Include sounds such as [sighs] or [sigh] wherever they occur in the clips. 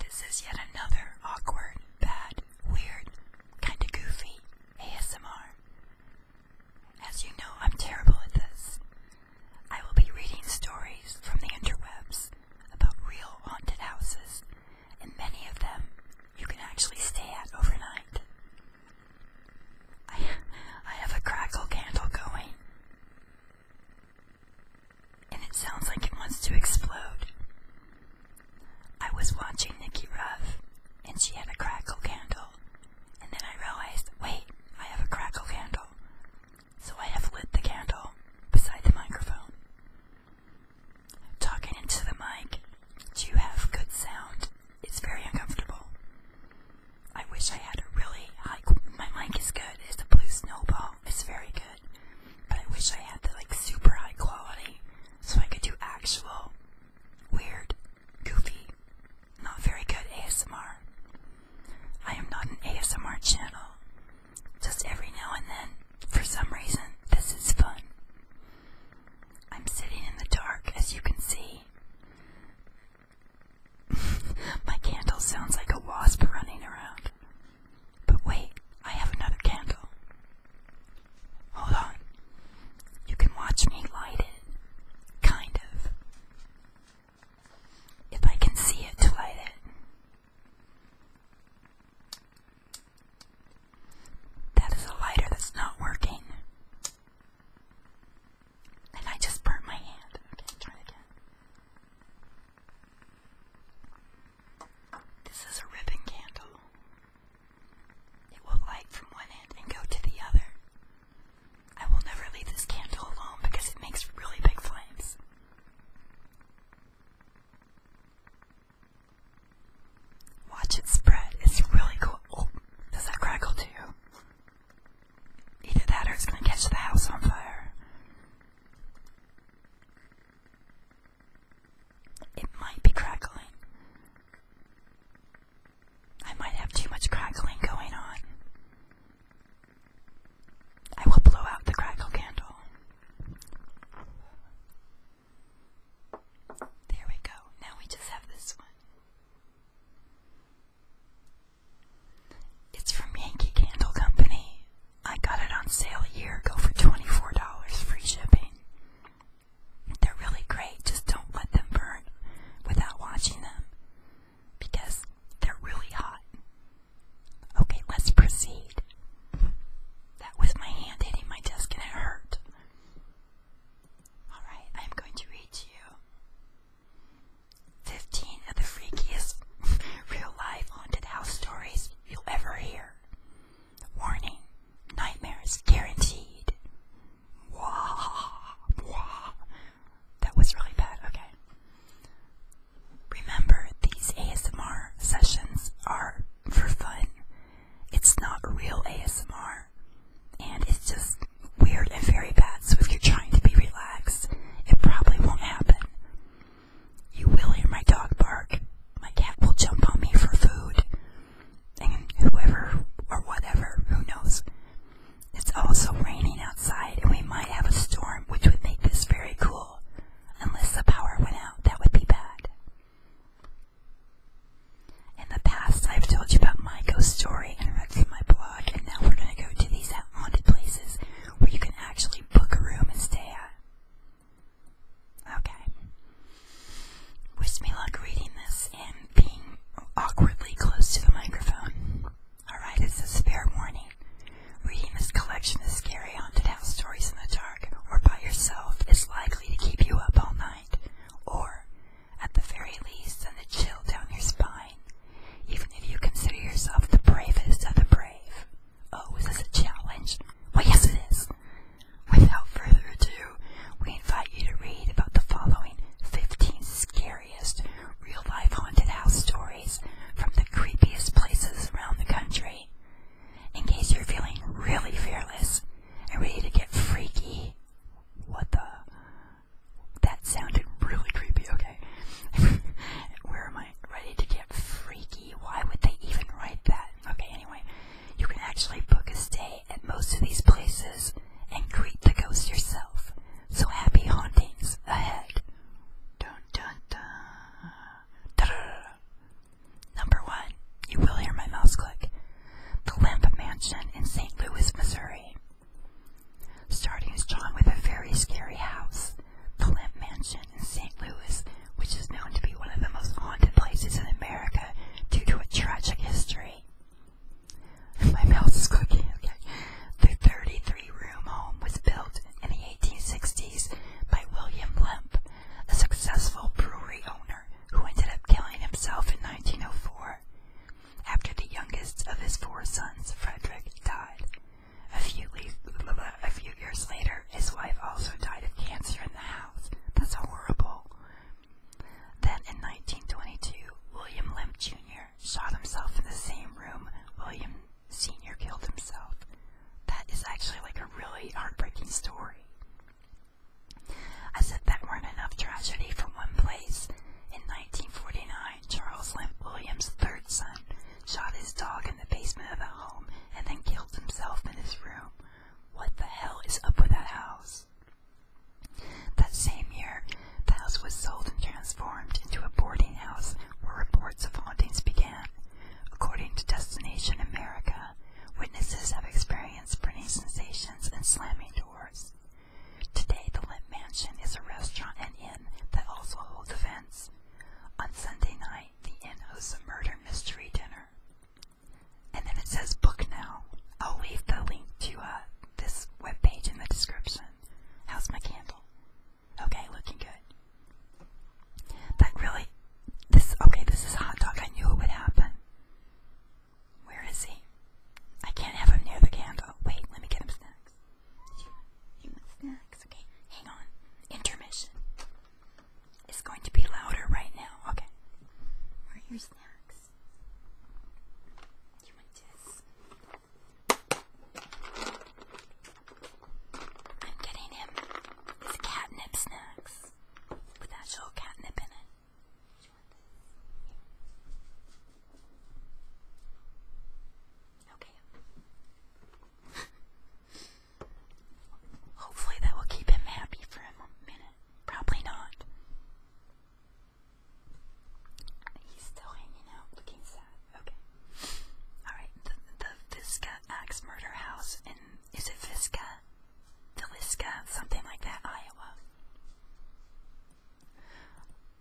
This is yet another awkward, bad, weird, kinda goofy ASMR. As you know, I'm terrible at this. I will be reading stories from the interwebs about real haunted houses, and many of them you can actually stay at overnight. I, I have a crackle candle going and it sounds like it wants to explode. I was watching Nikki Ruff, and she had a crackle candle, and then I realized wait, I have a crackle candle. So I have lit the candle beside the microphone. Talking into the mic, do you have good sound? It's very uncomfortable. I wish I had a really high. My mic is good. It's a blue snowball. It's very good. But I wish I had the like super high quality so I could do actual weird, goofy, not very good ASMR. I am not an ASMR channel. Just every now and then, for some reason, this is fun. I'm sitting in the dark, as you can see. [laughs] My candle sounds like a wasp running around. But wait, I have another candle. Hold on. You can watch me light it. Kind of. If I can see it to light it. That is a lighter that's not working. And I just burnt my hand. Okay, try again. This is a ribbon candle. It will light from one end and go to the other. I will never leave this candle alone because it makes really big flames. Watch it spread. It's really cool. Oh, does that crackle too? Either that or it's going to catch the house on fire. It might be crackling. I might have too much crackling going on. I will blow out the crackle candle. There we go. Now we just have this one. It's from Yankee Candle Company. I got it on sale a year ago for $24 free shipping. They're really great, just don't let them burn without watching them because they're really hot. Okay, let's proceed. That was my hand hitting my desk and it hurt. Alright, I'm going to read to you 15 of the freakiest [laughs] real life haunted house stories you'll ever hear. Warning nightmares guaranteed. Wah, wah. That was really bad, okay. Remember, these ASMR sessions are for fun. It's not real ASMR, and it's just weird and very bad. So if you're trying to be relaxed, it probably won't happen. You will hear my dog bark. My cat will jump on me for food. And whoever or whatever, who knows. It's also raining outside and we might have a storm, which would make this very cool. Unless the power went out, that would be bad. In the past, I've told you about my ghost story and read from my blog, and now we're going to go to these haunted places where you can actually can book a room and stay at. Okay. Wish me luck reading this and being awkwardly close to the microphone. Alright, it's a fair warning. Reading this collection of scary haunted house stories in the dark or by yourself is likely to keep you up all night, or, at the very least, send a chill down your spine, even if you consider yourself the bravest of the brave. Oh, is this a challenge? Well, yes it is. Without further ado, we invite you to read about the following 15 scariest real-life haunted house stories from the creepiest places around the country. In case you're feeling really fearless and ready to get freaky. What the? That sounded really creepy, okay. [laughs] Where am I? mind, ready to get freaky. Why would they even write that? Okay, anyway, you can actually book a stay at most of these places and greet the ghost yourself. So happy hauntings ahead. Dun dun dun. Da -da -da. Number one, you will hear my mouse click. The Lamp Mansion in St. Louis, Missouri. Starting is John with a very scary house the Limp Mansion in St. Louis, which is known to be one of the most haunted places in America due to a tragic history. My mouse is cooking. okay. The 33-room home was built in the 1860s by William Limp, a successful brewery owner who ended up killing himself in 1904 after the youngest of his four sons, Frederick, died. A few, years later, his wife also died of cancer in the house. That's horrible. Then in 1922, William Limp Jr. shot himself in the same room William Sr. killed himself. That is actually like a really heartbreaking story. I said that weren't enough tragedy from one place. In 1949, Charles Limp Williams' third son shot his dog in the basement of that home, and then killed himself in his room. What the hell is up with that house? That same year, the house was sold and transformed into a boarding house where reports of hauntings began. According to Destination America, witnesses have experienced burning sensations and slamming doors. Today, the Limp Mansion is a restaurant and inn that also holds events. On Sunday night, the inn hosts a murder mystery dinner. And then it says book now. I'll leave the link to uh, this web page in the description. How's my candle? Okay, looking good. That really, this, okay, this is hot dog. I knew it would happen. Where is he? I can't have him near the candle. Wait, let me get him snacks. You, want snacks? Okay, hang on. Intermission. It's going to be louder right now. Okay. Where are your snacks? You want this? I'm getting him his catnip snacks with actual catnip in it. Okay. Hopefully that will keep him happy for a minute. Probably not. He's still hanging out, looking sad. Okay. Alright, the, the Axe Murder House in, is it Visca? Villisca, something like that, Iowa.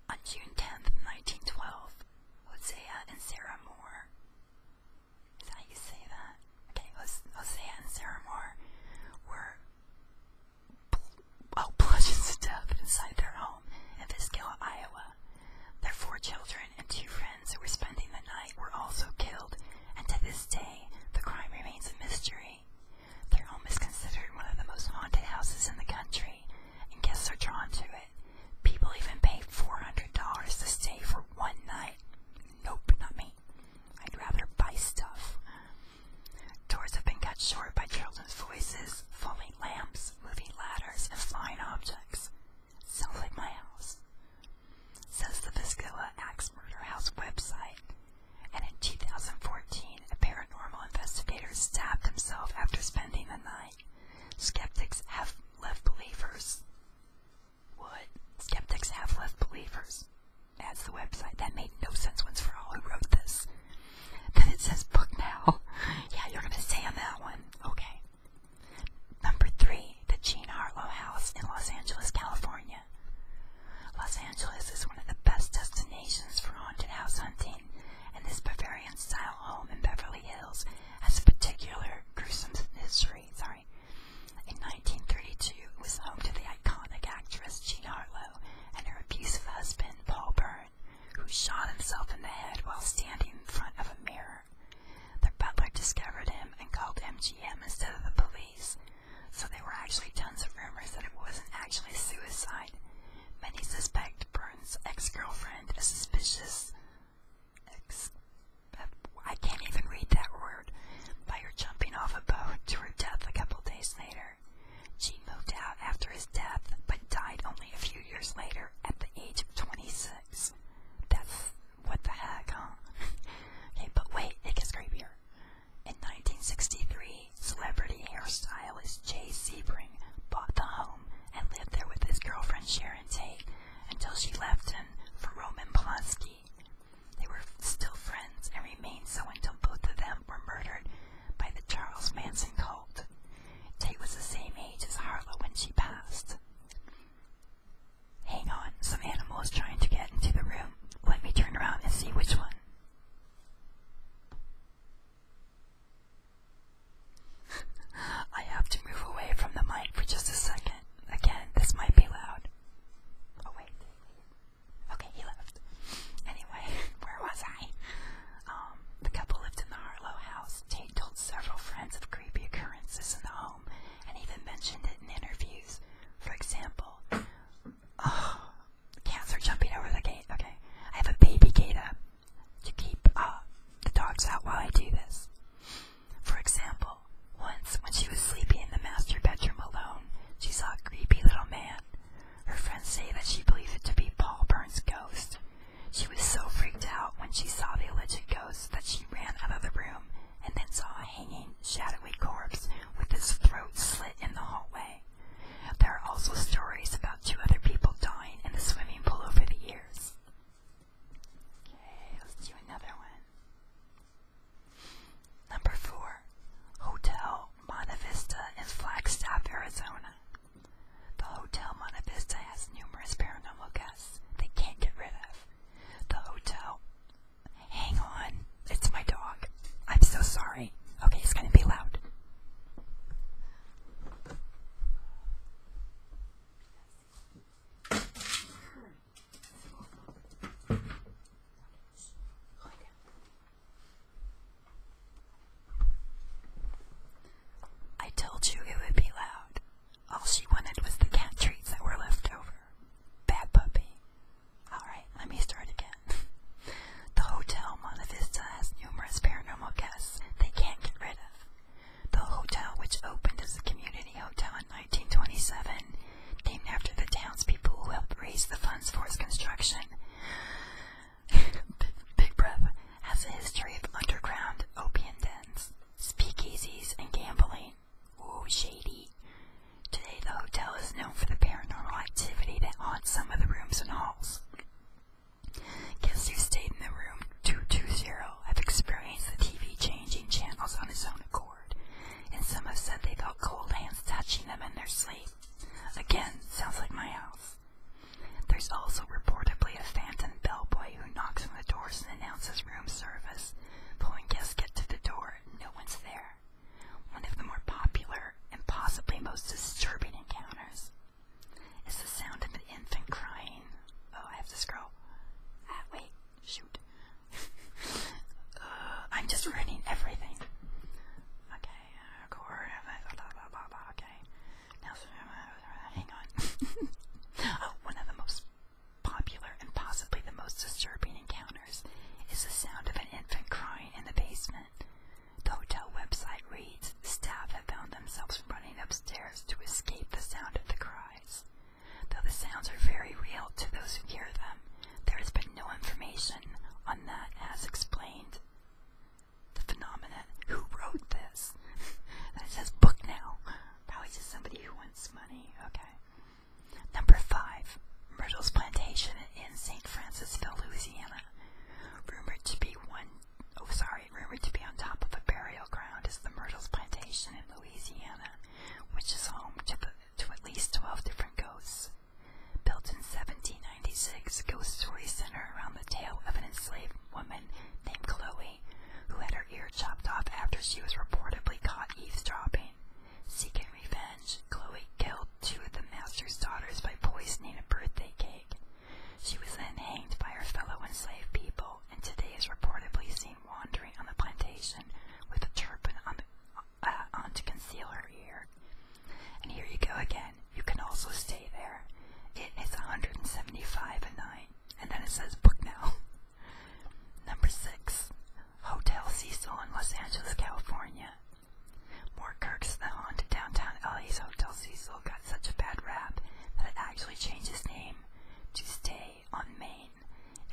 On June 10th, 1912, Hosea and Sarah Moore is that how you say that? Okay, let's Hosea and Sarah Moore were well oh, bludgeoned to death inside their home in Viscula, Iowa. Their four children and two friends who were spending the night were also killed, and to this day the crime remains a mystery. Their home is considered one of the most haunted houses in the country, and guests are drawn to it. People even pay $400 to stay for one night. Nope, not me. I'd rather buy stuff. Doors have been cut short by children's voices, falling lamps, moving ladders, and flying objects. Sounds like my house. Says the Viscilla Axe Murder House website. And in 2014, a paranormal investigator stabbed himself after spending the night. Skeptics have left believers. What? Skeptics have left believers. That's the website. That made no sense once for all who wrote this. Then it says book now. [laughs] yeah, you're gonna stay on that one. Okay. Number three, the Jean Harlow House in Los Angeles, California. Los Angeles is one of the best destinations for haunted house hunting, and this Bavarian style home in Beverly Hills has a particular gruesome history. Sorry. In 1932, it was home to the iconic actress Jean Harlow and her abusive husband, Paul Byrne, who shot himself in the head while standing in front of a mirror. Their butler discovered him and called MGM instead of the police, so there were actually tons of rumors that it wasn't actually suicide. Many suspect Byrne's ex girlfriend, a suspicious ex I can't even read that word, by her jumping off a boat to her death a couple days later. She moved out after his death, but died only a few years later at the age of 26. That's what the heck, huh? [laughs] okay, but wait, it gets creepier. In 1963, celebrity hairstylist Jay Sebring bought the home and lived there with his girlfriend Sharon until she left him for Roman Polanski. They were still friends and remained so until both of them were murdered by the Charles Manson cult. Tate was the same age as Harlow when she passed. Hang on, some animal is trying to get into the room. Let me turn around and see which one. [laughs] I have to move away from the mic for just a second. Again, this might be loud. Oh, wait. Okay, he left. Anyway, [laughs] where was I? Um, the couple lived in the Harlow house. Tate told several friends of creepy occurrences in the home and even mentioned it in interviews. For example, oh, [sighs] cats are jumping over the gate. Okay, I have a baby gate up to keep uh, the dogs out while I do this. For example, once when she was sleeping in the master bedroom alone, she saw a creepy little man. Her friends say that she believed it to be Paul Burns' ghost. She was so freaked out when she saw the alleged ghost that she ran out of the room and then saw a hanging, shadowy corpse with its throat slit in the hallway. There are also stories about two other people dying in the swimming pool over the years. Okay, let's do another one. Number four, Hotel Monta Vista in Flagstaff, Arizona. The Hotel Monta Vista has numerous paranormal guests they can't get rid of. The hotel. Hang on, it's my dog. I'm so sorry. Okay, it's gonna be loud. I told you it would be loud. All she wanted was the cat treats that were left over. Bad puppy. Alright, let me start again. [laughs] the Hotel Monta Vista has numerous paranormal guests they can't get rid of. The hotel, which opened as a community hotel in 1927, named after the townspeople who helped raise the funds for its construction, [laughs] big breath, has a history of underground opium dens, speakeasies, and gambling. Ooh, shady. Today, the hotel is known for the paranormal activity that haunts some of the rooms and halls. Guests who stayed in the room 220 have experienced the TV changing channels on its own accord, and some have said they felt cold hands touching them in their sleep. Again, sounds like my house. There's also reportedly a phantom bellboy who knocks on the doors and announces room service, but when guests get to the door, no one's there. One of the more popular and possibly most disturbing encounters. It's the sound of an infant crying. Oh, I have to scroll. Ah, wait, shoot. [laughs] Uh, I'm just ruining everything. Okay, uh, core, uh, blah, blah, blah, blah, okay. Uh, hang on. [laughs] Oh, one of the most popular and possibly the most disturbing encounters is the sound of an infant crying in the basement. The hotel website reads, staff have found themselves running upstairs to escape the sound of the cry eyes. Though the sounds are very real to those who hear them, there has been no information on that as explained. The phenomenon. Who wrote this? and [laughs] it says book now. Probably just somebody who wants money. Okay. Number five. Myrtle's plantation in St. Francisville, Louisiana. Rumored to be one oh sorry, rumored to be on top of a burial ground is the Myrtles Plantation in Louisiana, which is home to, the, to at least 12 different ghosts. Built in 1796, ghost stories center around the tale of an enslaved woman named Chloe, who had her ear chopped off after she was reportedly caught eavesdropping. Seeking revenge, Chloe killed two of the master's daughters by poisoning a birthday cake. She was then hanged by her fellow enslaved people. Bill, and today is reportedly seen wandering on the plantation with a turban on, the, uh, on to conceal her ear. And here you go again. You can also stay there. It is 175 a night, and then it says book now. [laughs] Number six, Hotel Cecil in Los Angeles, California. More Kirk's the haunted downtown LA's Hotel Cecil got such a bad rap that it actually changed its name to stay on Maine.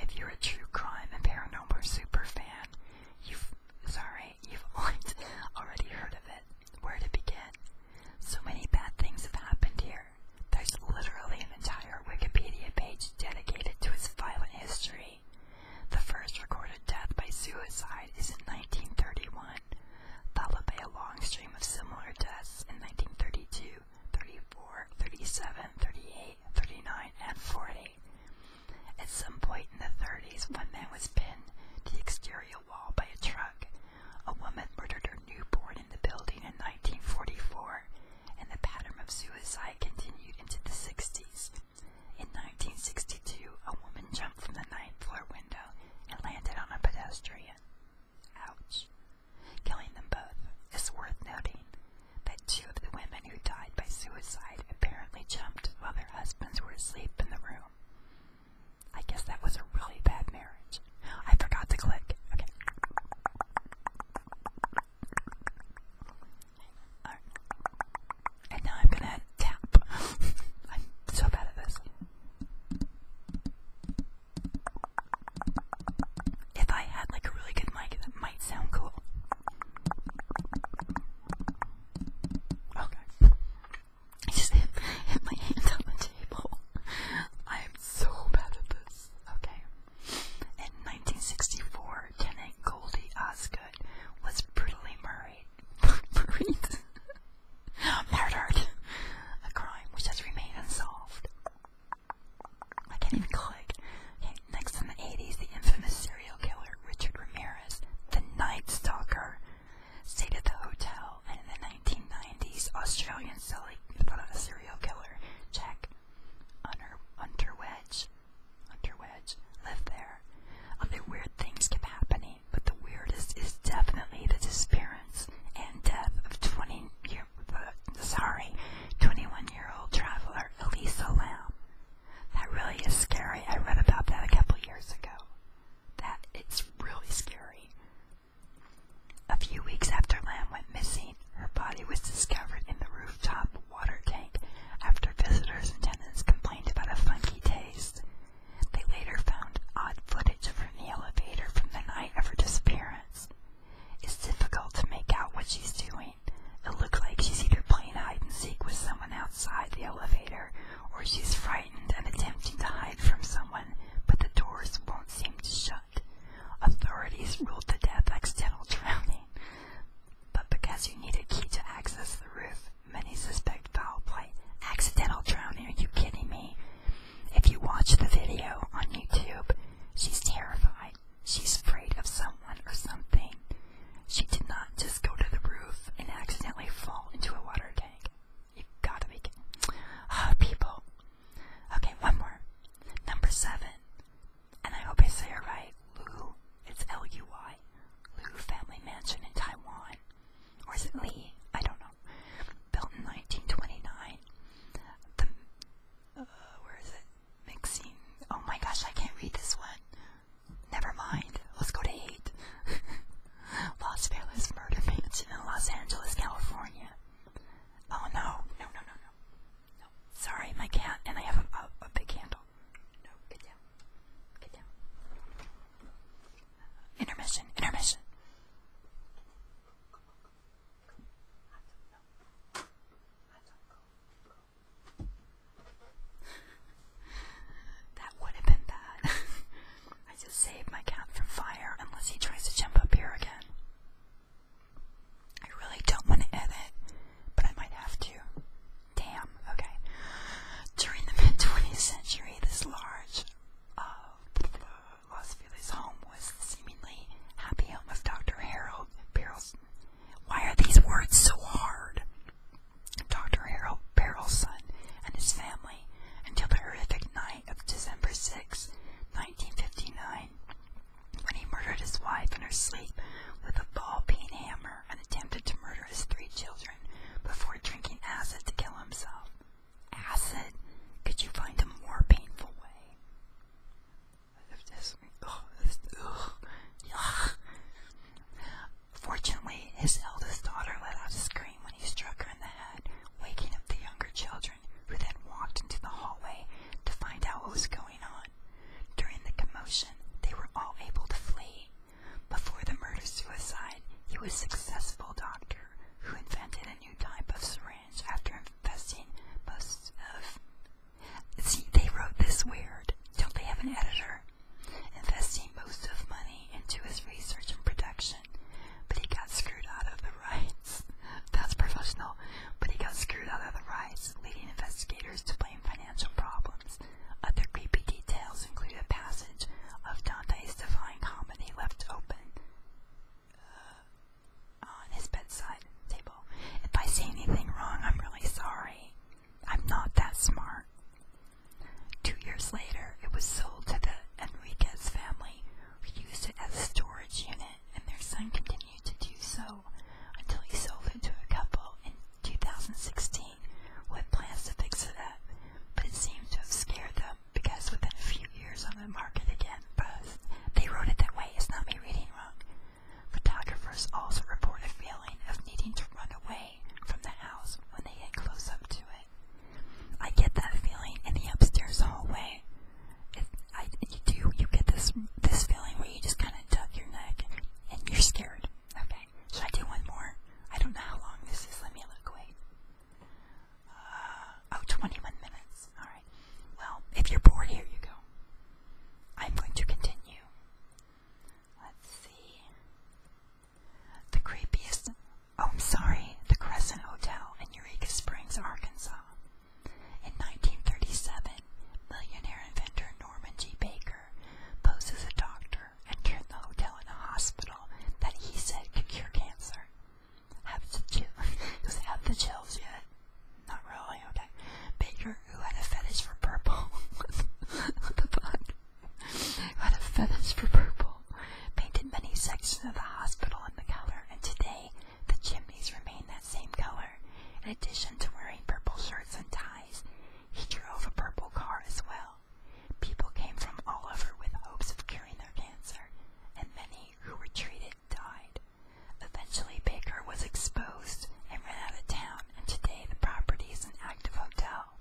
If you're a true crime and paranormal super fan, you've sorry, you've [laughs] already heard of it. Where to begin? So many bad things have happened here. There's literally an entire Wikipedia page dedicated to its violent history. The first recorded death by suicide is in 1931, followed by a long stream of similar deaths in 1932 34, 37, 38, 39, and 40. At some point in the 30s, one man was pinned to the exterior wall by a truck. A woman murdered her newborn in the building in 1944, and the pattern of suicide continued into the 60s. In 1962, a woman jumped from the ninth floor window and landed on a pedestrian. Ouch. Killing them both. It's worth noting that two of the women who died by suicide apparently jumped while their husbands were asleep in the room. I guess that was a really bad marriage. I forgot to click. Okay. And now I'm gonna tap. [laughs] I'm so bad at this. If I had like a really good mic, that might sound cool. Okay. I just hit, hit my hand on the table. I am so bad at this. Okay. In 1964, Tenant Goldie Osgood was brutally murdered. [laughs] murdered? murdered! A crime which has remained unsolved. I can't even click. Okay, next in the 80s, the infamous serial killer Richard Ramirez, the Night Stalker, stayed at the hotel, and in the 1990s, Australian serial killer Jack Underwedge, Underwedge lived there. Other weird things kept happening, but the weirdest is definitely the disappearance and death of 20 year, sorry, 21-year-old traveler Elisa Lam. That really is scary. I read about that a couple years ago. That is really scary. A few weeks after Lam went missing, her body was discovered in the rooftop water tank after visitors and tenants complained about a funky taste. They later found odd footage from the elevator from the night of her disappearance. It's difficult to make out what she's doing. It looks like she's either playing hide and seek with someone outside the elevator, or she's frightened and attempting to hide from someone, but the doors won't seem to shut. Authorities ruled the death accidental drowning, but because you need a key to access the roof, many suspect foul play. Accidental drowning, are you kidding me? If you watch the video on YouTube, She's terrified. She's afraid of someone or something. She did not just go to the roof and accidentally fall into a water tank. You've got to be kidding. Oh, people. Okay, one more. Number seven. And I hope I say it right. Lu. It's L U Y. Lu Family Mansion in Taiwan. Or is it Lee? I don't know. Built in 1929. The, uh, where is it? Mixing. Oh my gosh, I can't read this one. Never mind. Let's go to 8. Los [laughs] Angeles Murder Mansion in Los Angeles, California. Oh no. No, no, no, no. No. Sorry, my cat, and I have a, a big handle. No, get down. Get down. Intermission, intermission that would have been bad. [laughs] I just saved my cat from fire unless he tries to jump up here again. I really don't want to edit, but I might have to. Damn, okay. During the mid 20th century, this large uh, of Los Feliz home was the seemingly happy home of Dr. Harold Barrelson. Why are these words so hard? Dr. Harold Barrelson and his family until the horrific night of December 6, 1959, when he murdered his wife in her sleep with a ball peen hammer and attempted to murder his three children before drinking acid to kill himself acid? Could you find a more painful way? Fortunately, his eldest daughter let out a scream when he struck her in the head, waking up the younger children, who then walked into the hallway to find out what was going on. During the commotion, they were all able to flee. Before the murder-suicide, he was a successful doctor who invented a new type of syringe after investing most of. See, they wrote this weird. Don't they have an editor? Investing most of money into his research and production, but he got screwed out of the rights. [laughs] That's professional, but he got screwed out of the rights, leading investigators to blame financial problems. Other creepy details include a passage of Dante's Divine Comedy left open on his bedside table. If I say anything wrong, I'm really sorry. I'm not that smart. Two years later, it was sold to the Enriquez family, who used it as a storage unit, and their son continued to do so until he sold it to a couple in 2016 who had plans to fix it up, but it seemed to have scared them because within a few years I'm going to mark it again, but they wrote it that way. It's not me reading wrong. Photographers also report a feeling of needing to run away from the house when they get close up to it. I get that feeling in the upstairs hallway. It, I, you do, you get this this feeling where you just kind of duck your neck and you're scared. Okay, should I do one more? I don't know how long this is. Let me look. Wait. Uh, oh, minutes. Alright. Well, if you're bored, here you go. I'm going to continue. Let's see. The creepiest. Oh, I'm sorry. The Crescent Hotel in Eureka Springs, Arkansas. In 1937, millionaire inventor Norman G. Baker posed as a doctor and turned the hotel into a hospital that he said could cure cancer. Have the chills? [laughs] Does have the chills yet? Not really, okay. Baker, who had a fetish for purple. [laughs] what the fuck? Who had a fetish for purple? Painted many sections of the hospital in the color, and today the chimneys remain that same color. In addition to wearing purple shirts and ties, he drove a purple car as well. People came from all over with hopes of curing their cancer, and many who were treated died. Eventually, Baker was exposed and ran out of town, and today the property is an active hotel.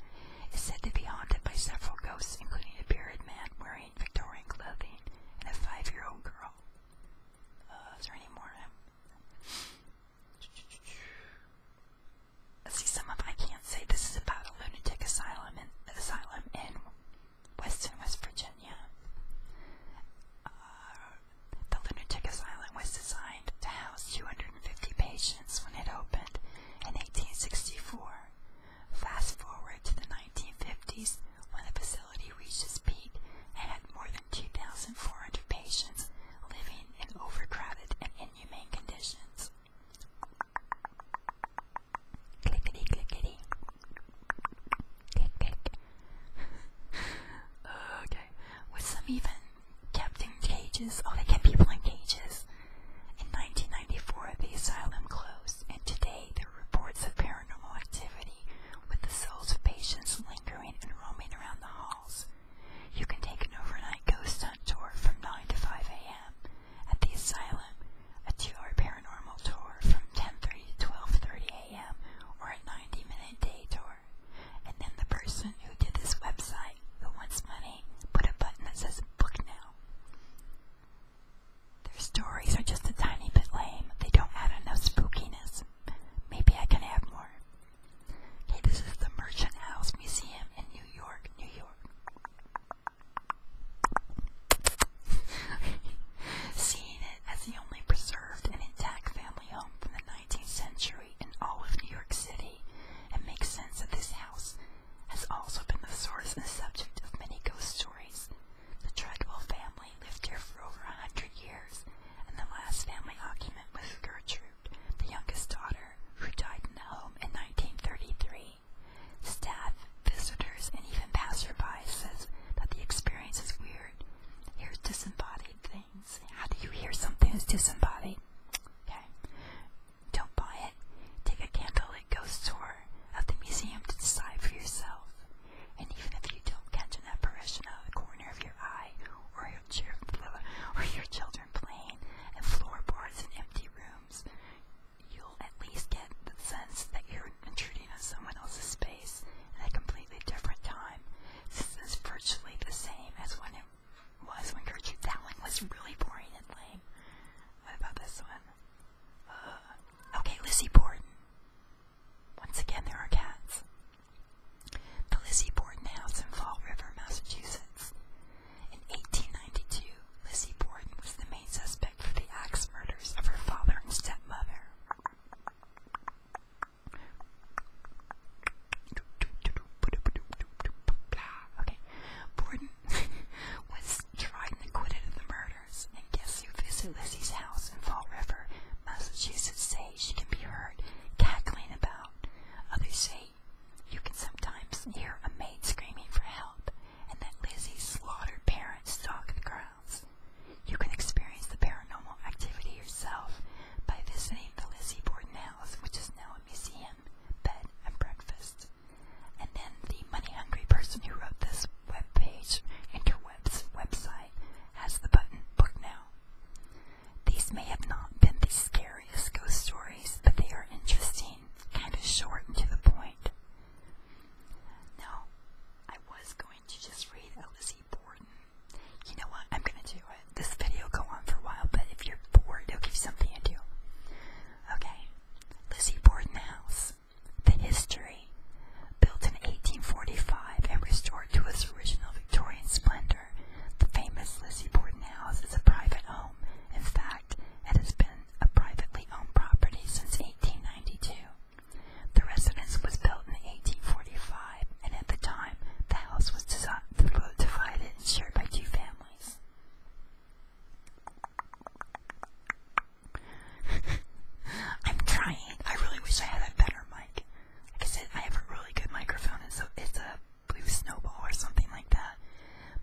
It's said to be haunted by several ghosts, including a bearded man wearing Victorian clothing and a five-year-old girl. Uh, is there any more? Let's see, some of I can't say. This is about a lunatic asylum and asylum in Western West Virginia. Uh, the lunatic asylum was designed to house 250 patients when it opened in 1864. Fast forward to the 1950s when the facility reached its peak and had more than 2,400 patients living in overcrowded and inhumane conditions. Clickety clickety. [laughs] okay, with some even kept in cages, oh they kept people in cages. In 1994 the asylum closed and today there are reports of paranormal activity with the souls of patients lingering and roaming around the halls. You can take an overnight ghost hunt tour from 9 to 5 a.m. at the asylum, a two-hour paranormal tour from 10.30 to 12.30 or a 90 minute day tour. And then the person who did this website, who wants money, put a button that says book now. Their stories are just a tiny bit lame. They don't add enough spookiness. Maybe I can have more. Okay, this is the Merchant House Museum in New York, New York. Seeing [laughs] as the only preserved and intact family home from the 19th century in all of New York City, it makes sense that this house has also been the source and subject of many ghost stories. The Treadwell family lived here for over a hundred years, and the last family occupant was Gertrude, the youngest daughter, who died in the home in 1933. Staff visitors, and even passerby says that the experience is weird. Here's disembodied things. How do you hear something is disembodied? Okay. Don't buy it. Take a candlelit ghost tour of the museum to decide for yourself. And even if you don't catch an apparition out of the corner of your eye, or your, cheer, or your children playing and floorboards in empty rooms, you'll at least get the sense that your intruding on someone else's space in a completely different time. This is virtually the same as when it was when Gertrude Dowling was really boring and lame. What about this one? Uh, okay, Lizzie Borden. Once again, there are cats. The Lizzie Borden House in Fall River, Massachusetts. In 1892, Lizzie Borden was the main suspect for the axe murders of her father and stepmother. Okay. Borden was tried and acquitted of the murders, and guess who visited Lizzie's house in Fall River, Massachusetts say she can be heard cackling about. Others say you can sometimes hear a maid screaming for help, and that Lizzie's slaughtered parents stalk the crowd grounds. You can experience the paranormal activity yourself by visiting the Lizzie Borden House, which is now a museum, bed, and breakfast. And then the money-hungry person who wrote this webpage, interwebs website, has the button Book Now. These may have not been the scariest ghost stories, but they are interesting, kind of short and to the point. Now, I was going going to just read Elsie Borden. You know what? I'm gonna do it. This video will go on for a while, but if you're bored, it'll give you something to do. Okay. Lizzie Borden House. The history. Built in 1845 and restored to its original Victorian splendor, the famous Lizzie Borden House is a private home. In fact, it has been a privately owned property since 1892. The residence was built in 1845, and at the time, the house was divided and shared by two families. [laughs] I'm trying. I really wish I had a better mic. Like I said, I have a really good microphone, and so it's a blue snowball or something like that.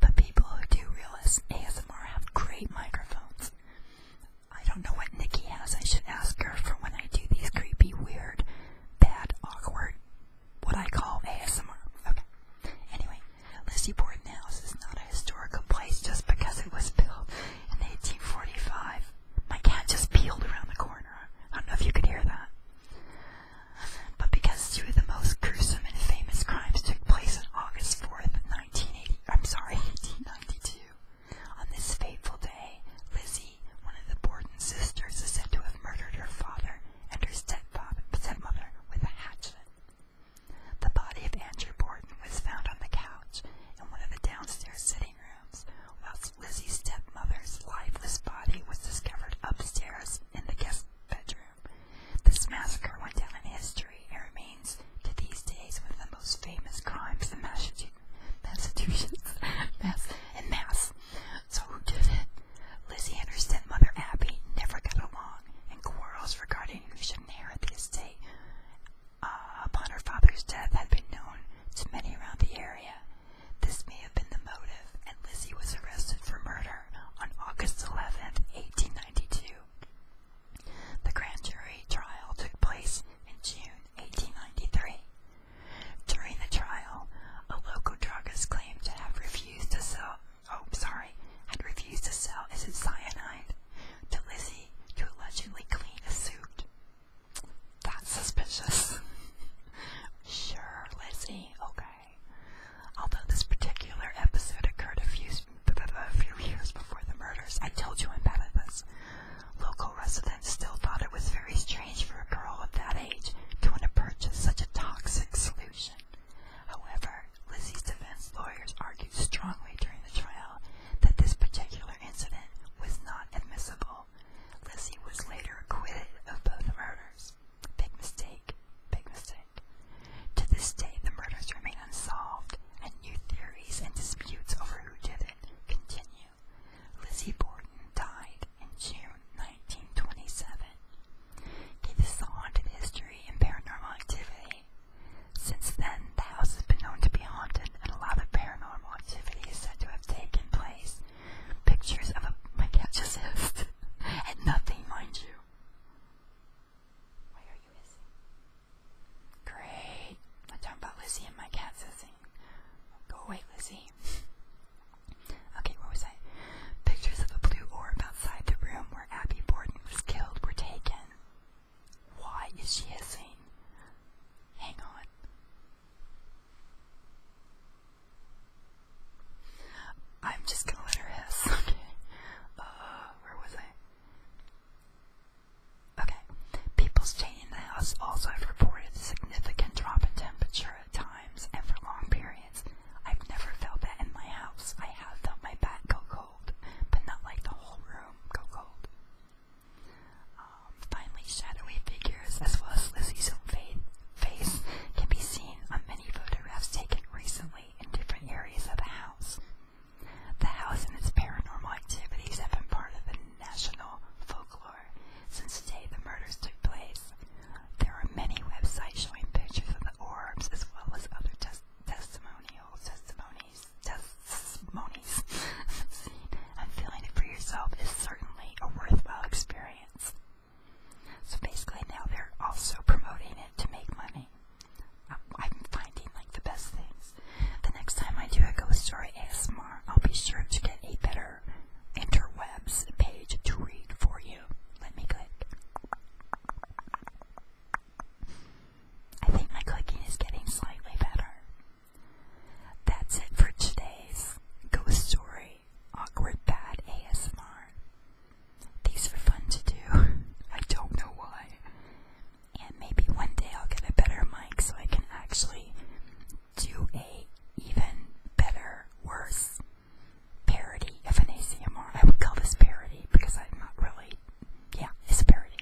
But people who do realize ASMR have great microphones. I don't know what Nikki has. I should ask her for when I do these creepy, weird, bad, awkward, what I call ASMR. Okay. Anyway, Lizzie Borden House is not a historical place just because it was built in 1845. My cat just peeled around the corner. I don't know if you could hear that. But because two of the most gruesome and famous crimes took place on August 4th, 1980, I'm sorry, 1892, [laughs] On this fateful day, Lizzie, one of the Borden sisters, is said to have murdered her father and her stepfather, stepmother with a hatchet. The body of Andrew Borden was found on the couch in one of the downstairs sitting rooms, whilst Lizzie's stepmother's lifeless body was discovered upstairs in the guest bedroom. This massacre went down in history and remains remains to these days one of the most famous crimes in Massachusetts mass, and Mass. So who did it? Lizzie Anderson and Mother Abbey never got along, and quarrels regarding who should inherit the estate uh, upon her father's death had been known to many around the area. This may have been the motive, and Lizzie was arrested for murder on August 11, 1892. The grand jury trial took place in June 1893. During the trial, a local druggist claimed to have refused to sell oh sorry, had refused to sell acid cyanide to Lizzie to allegedly clean a suit. That's suspicious. [laughs] sure, Lizzie, okay. Although this particular episode occurred a few, a few years before the murders, I told you about am this. Local residents still thought it was very strange for a girl of that age to want to purchase such a toxic solution. However, Lizzie's defense lawyers argued strongly during the trial that this particular incident was not admissible. Lizzie was later acquitted of both murders. Big mistake, big mistake. To this day, the murders remain unsolved, and new theories and disputes over who did continue. Lizzie Borden died in June 1927. Okay, the haunted history and paranormal activity. Since then, the house has been known to be haunted, and a lot of paranormal activity is said to have taken place. Pictures of a my cat just hissed, [laughs] and nothing, mind you. Great. I'll talk about Lizzie and my cat sitting. Go away, Lizzie. [laughs] okay, where was I? Pictures of a blue orb outside the room where Abby Borden was killed were taken. Why is she hissing? Hang on. I'm just gonna let her hiss, [laughs] okay? Uh, where was I? Okay. People staying in the house also have reported a significant drop in temperature at times and for long periods. I've never felt that in my house. I have felt my back go cold, but not like the whole room go cold. Um, finally, shadowy figures as well as Lizzie's own face can be seen on many photographs taken recently in different areas of the house. The house and its paranormal activities have been part of the national folklore since the day the murders took place. There are many websites showing pictures of the orbs as well as other tes testimonial testimonies. Testimonies. [laughs] I'm feeling it for yourself is certainly a worthwhile experience. So basically now they're also promoting it to make money. I'm finding like the best things. The next time I do a ghost story ASMR, I'll be sure to get a better interwebs page to read for you. Let me click. I think my clicking is getting slightly better. That's it for today's ghost story awkward bad ASMR. These are fun to do. [laughs] I don't know why and maybe one day I'll get a better mic so I can actually do a even better, worse parody of an ACMR. I would call this parody because I'm not really, yeah, it's a parody.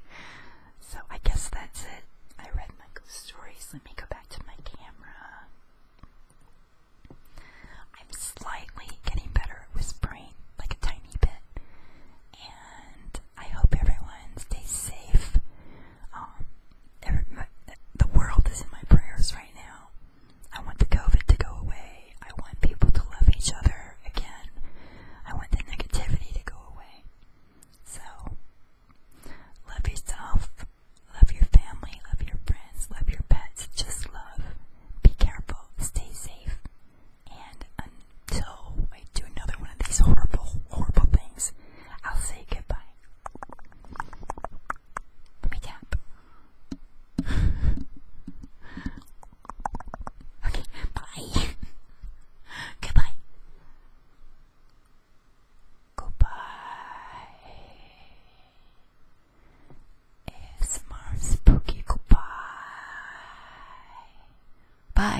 So I guess that's it. I read my stories. Let me go back to my camera. I'm slightly getting better at whispering, like a tiny bit and I hope everyone stays safe. Um, the world is in my prayers right now. I want the COVID to go away. I want people to love each other again. I want the negativity to go away. So, love yourself, love your family, love your friends, love your pets. Just love. Be careful, stay safe, and so I do another one of these horrible, horrible things. I'll say goodbye. Let [laughs] okay, bye. [laughs] goodbye. Goodbye. It's more spooky goodbye. Bye.